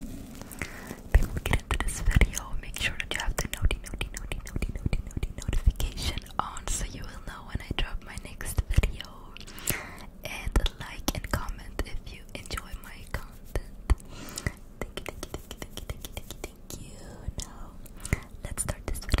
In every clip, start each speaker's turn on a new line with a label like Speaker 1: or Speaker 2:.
Speaker 1: Before we get this video, make sure that you have the notification on so you will know when I drop my next video. And like and comment if you enjoy my content. Thank you, thank you, thank you, thank you, thank you, thank you, Now let's start this video.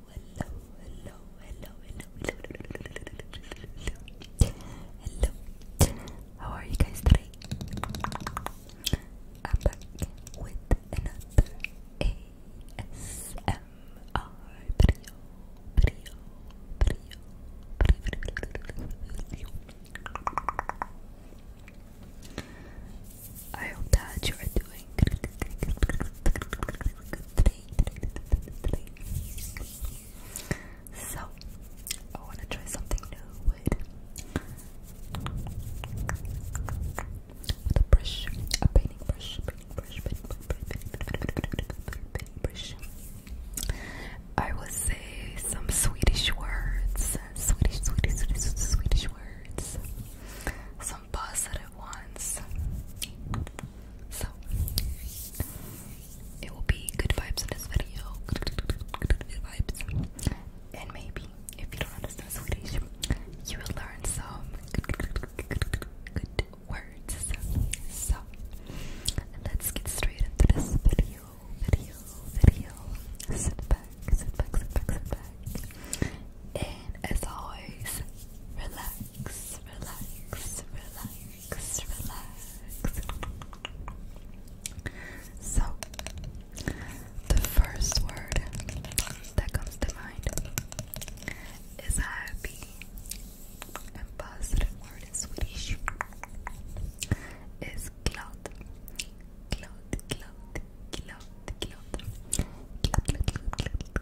Speaker 1: hello, hello, hello, hello, hello, hello, How are you guys today? I'm back with another ASMR video, video, video, I hope that you are doing so, I want to try something new with, a brush, a painting brush, painting brush, painting brush, painting brush, painting brush. I will say some Swedish words, Swedish, Swedish, Swedish, Swedish words, some positive ones. So it will be good vibes in this video. Good vibes. And maybe if you don't understand Swedish, you will learn some good words. So let's get straight into this video. Video, video. Sit back, sit back, sit back, sit back. And as always, relax relax, relax, relax, relax. So, the first word that comes to mind is happy, and positive word in Swedish is glad, glad, glad, glad, glad, glad,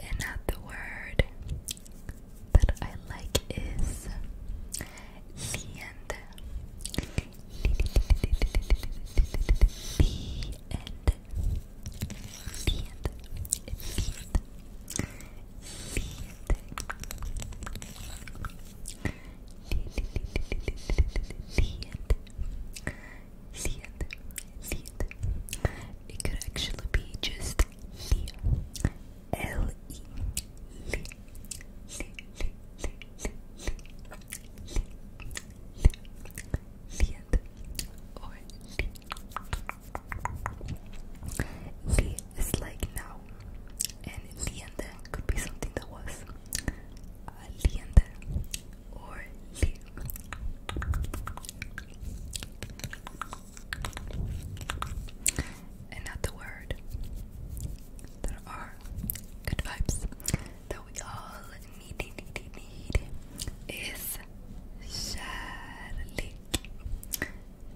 Speaker 1: Another word that I like is liend. Liend. Liend. Liend. It could actually be just L E or it's like now, and liende could be something that was aliende uh, or li. And not the word. There are good vibes that we all need, need, need, need is Charlie.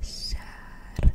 Speaker 1: Charlie.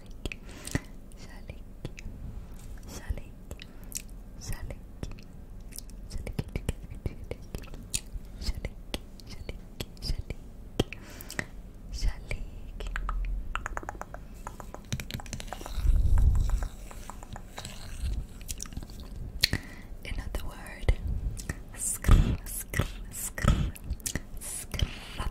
Speaker 1: Shalik, Shalik, Shalik, Shalik, Shalik, Shalik, Shalik, Shalik, Shalik. Another word, skr, skr, skr, skr,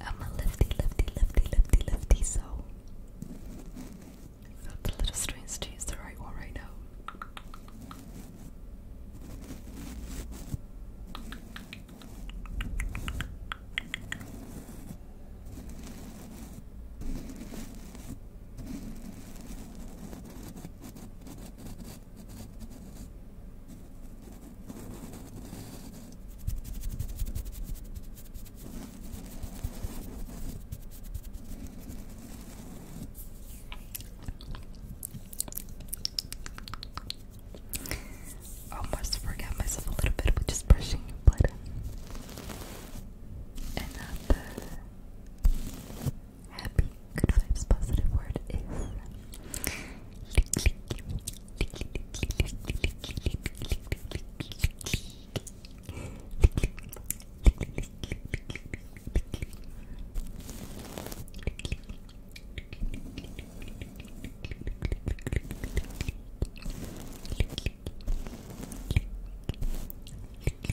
Speaker 1: I'm a lefty, lefty, lefty, lefty, lefty, so it's a little strange to use the right one right now. Almost forgot myself a little bit with just brushing, but and uh, happy, good vibes, positive word is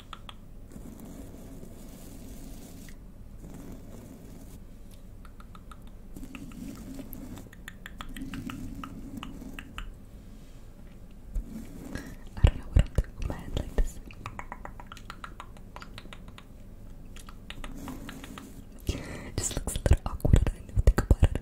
Speaker 1: I don't know what I'm doing my hand like this. It just looks a little awkward I didn't think about it.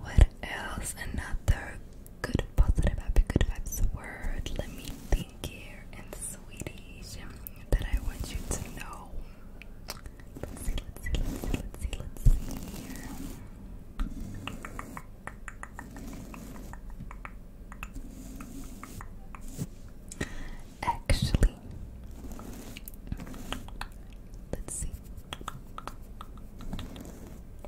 Speaker 1: What else? Another good positive, happy, good vibes word. Let me and sweetie, that I want you to know. Actually, let's see.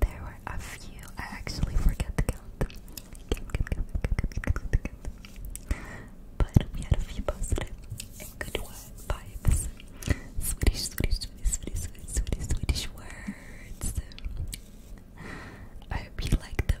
Speaker 1: there were a few. I actually forget to count them. But we had a few positive and good vibes. Swedish, Swedish, Swedish, Swedish, Swedish, Swedish words. I hope you like them.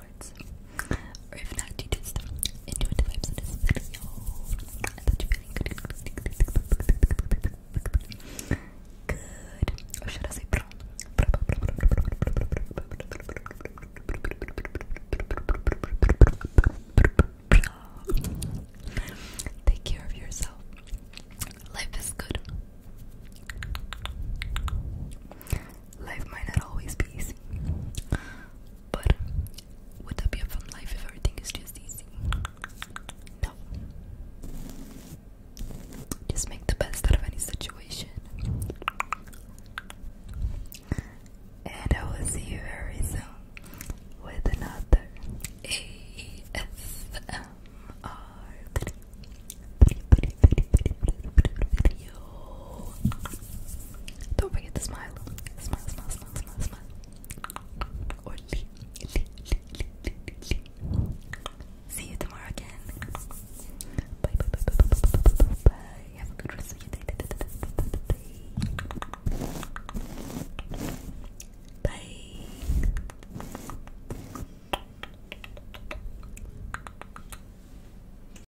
Speaker 1: Or if not, you did stuff into vibes in this video. I thought you really good. Good. Or should I say pro? Take care of yourself. Life is good. Life might not always be easy, but would that be a fun life if everything is just easy? No. Just make the best out of any situation. And I will see you very soon with another ASMR video. Don't forget to smile. Smile, smile, smile, smile, smile. See you tomorrow again. bye, bye, bye, bye, bye, bye, bye. Have a good rest of your day. Bye.